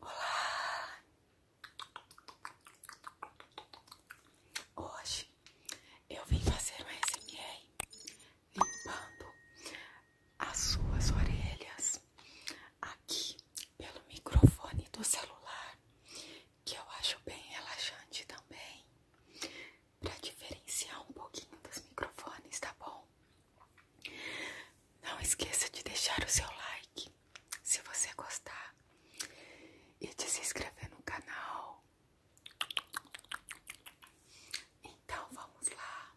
Olá! Hoje eu vim fazer um SMR limpando as suas orelhas aqui pelo microfone do celular, que eu acho bem relaxante também, para diferenciar um pouquinho dos microfones, tá bom? Não esqueça de deixar o seu like se você gostar e de se inscrever no canal. Então vamos lá.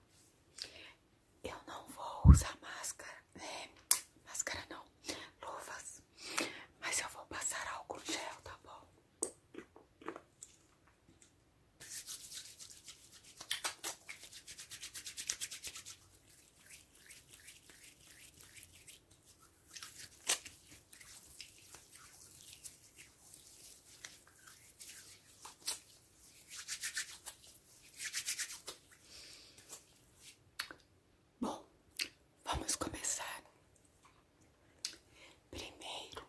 Eu não vou usar máscara, né? Máscara não, luvas. Mas eu vou passar álcool gel, tá bom? Bom, vamos começar primeiro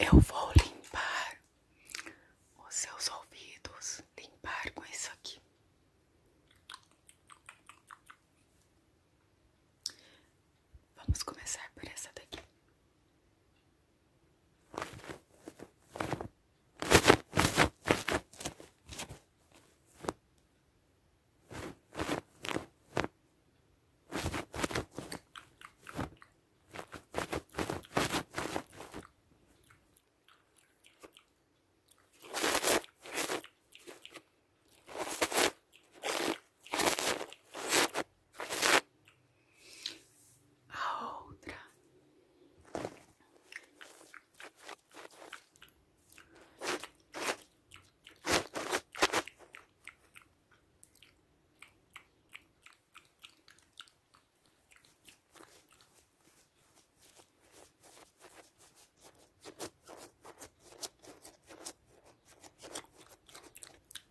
eu vou limpar os seus ouvidos, limpar com isso aqui. Vamos começar por essa daqui. A outra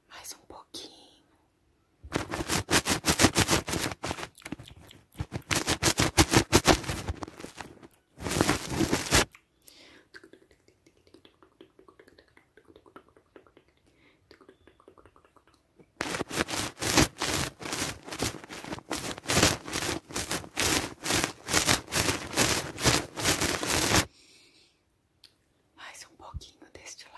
mais um pouquinho. Mais um pouquinho deste lado.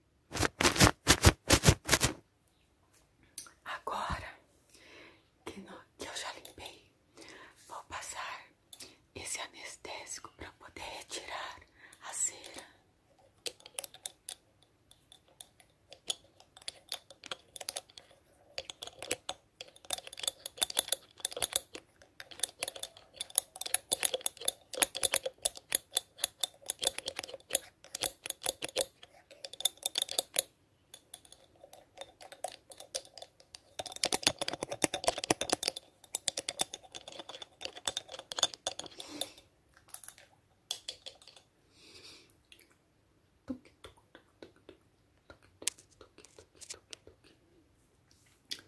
Agora que, eu já limpei, vou passar esse anestésico para poder retirar a cera.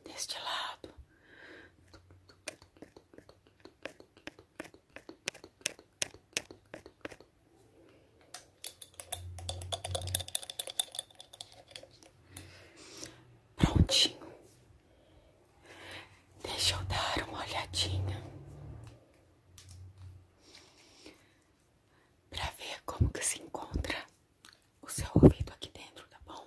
Deste lado. Prontinho. Deixa eu dar uma olhadinha para ver como que se encontra o seu ouvido aqui dentro, tá bom?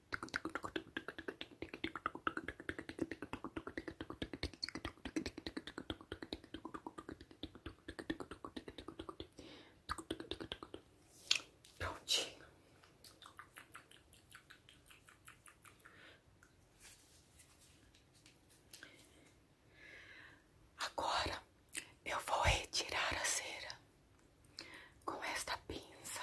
Prontinho. Agora eu vou retirar a cera com esta pinça.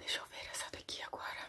Deixa eu ver essa daqui agora.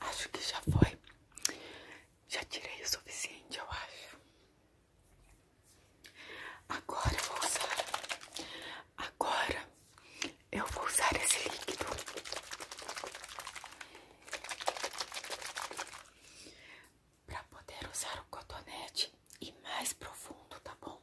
Acho que já foi. Já tirei o suficiente, eu acho. Agora eu vou usar. Agora eu vou usar esse líquido. Para poder usar o cotonete e mais profundo, tá bom?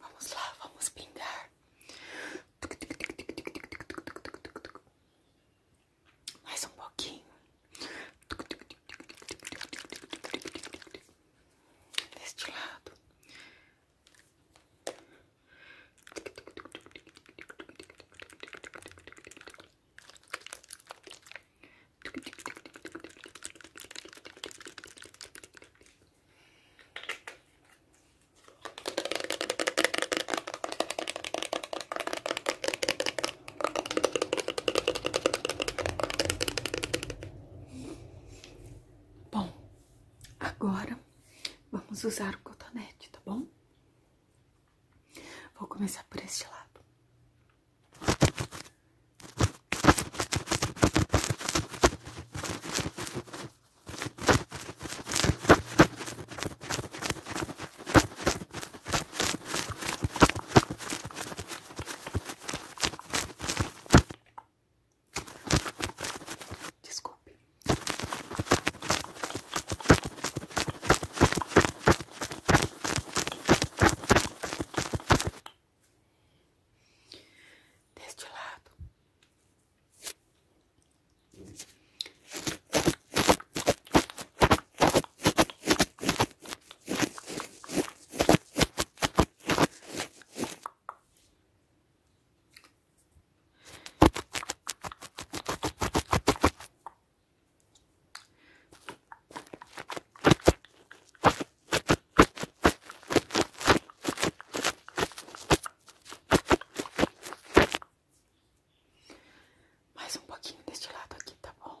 Vamos lá, vamos pingar. Mais um pouquinho. Deste lado. Bom, agora vamos usar o cotonete, tá bom? Vou começar por este lado. Desculpe. Deste lado. Mais um pouquinho deste lado aqui, tá bom?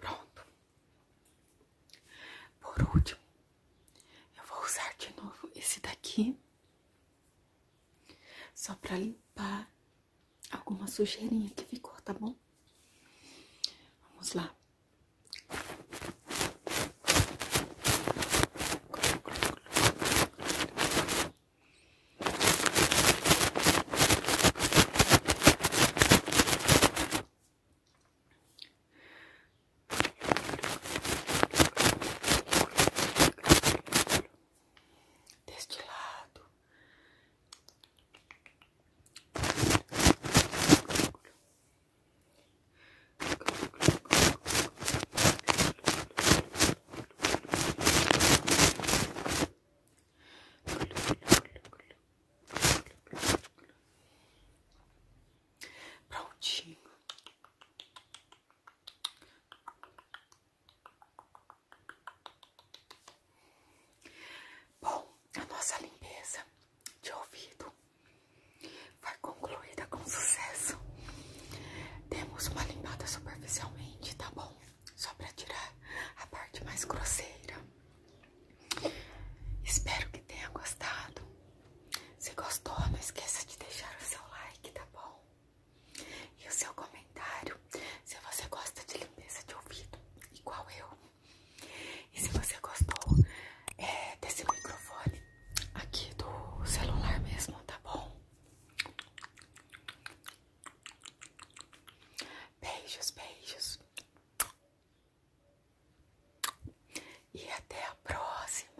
Pronto. Por último, eu vou usar de novo esse daqui, só pra limpar alguma sujeirinha que ficou, tá bom? Vamos lá. Deste lado, Prontinho. Bom, a nossa limpeza de ouvido. Foi concluída com sucesso. Temos uma limpada superficialmente, tá bom? Só para tirar a parte mais grosseira. Espero que tenha gostado. Se gostou, não esqueça de deixar o seu like, tá bom? E o seu comentário, se você gosta de limpeza de ouvido, igual eu. E se você gostou é, desse microfone, aqui do celular mesmo, tá bom? Beijos, beijos. E até a próxima.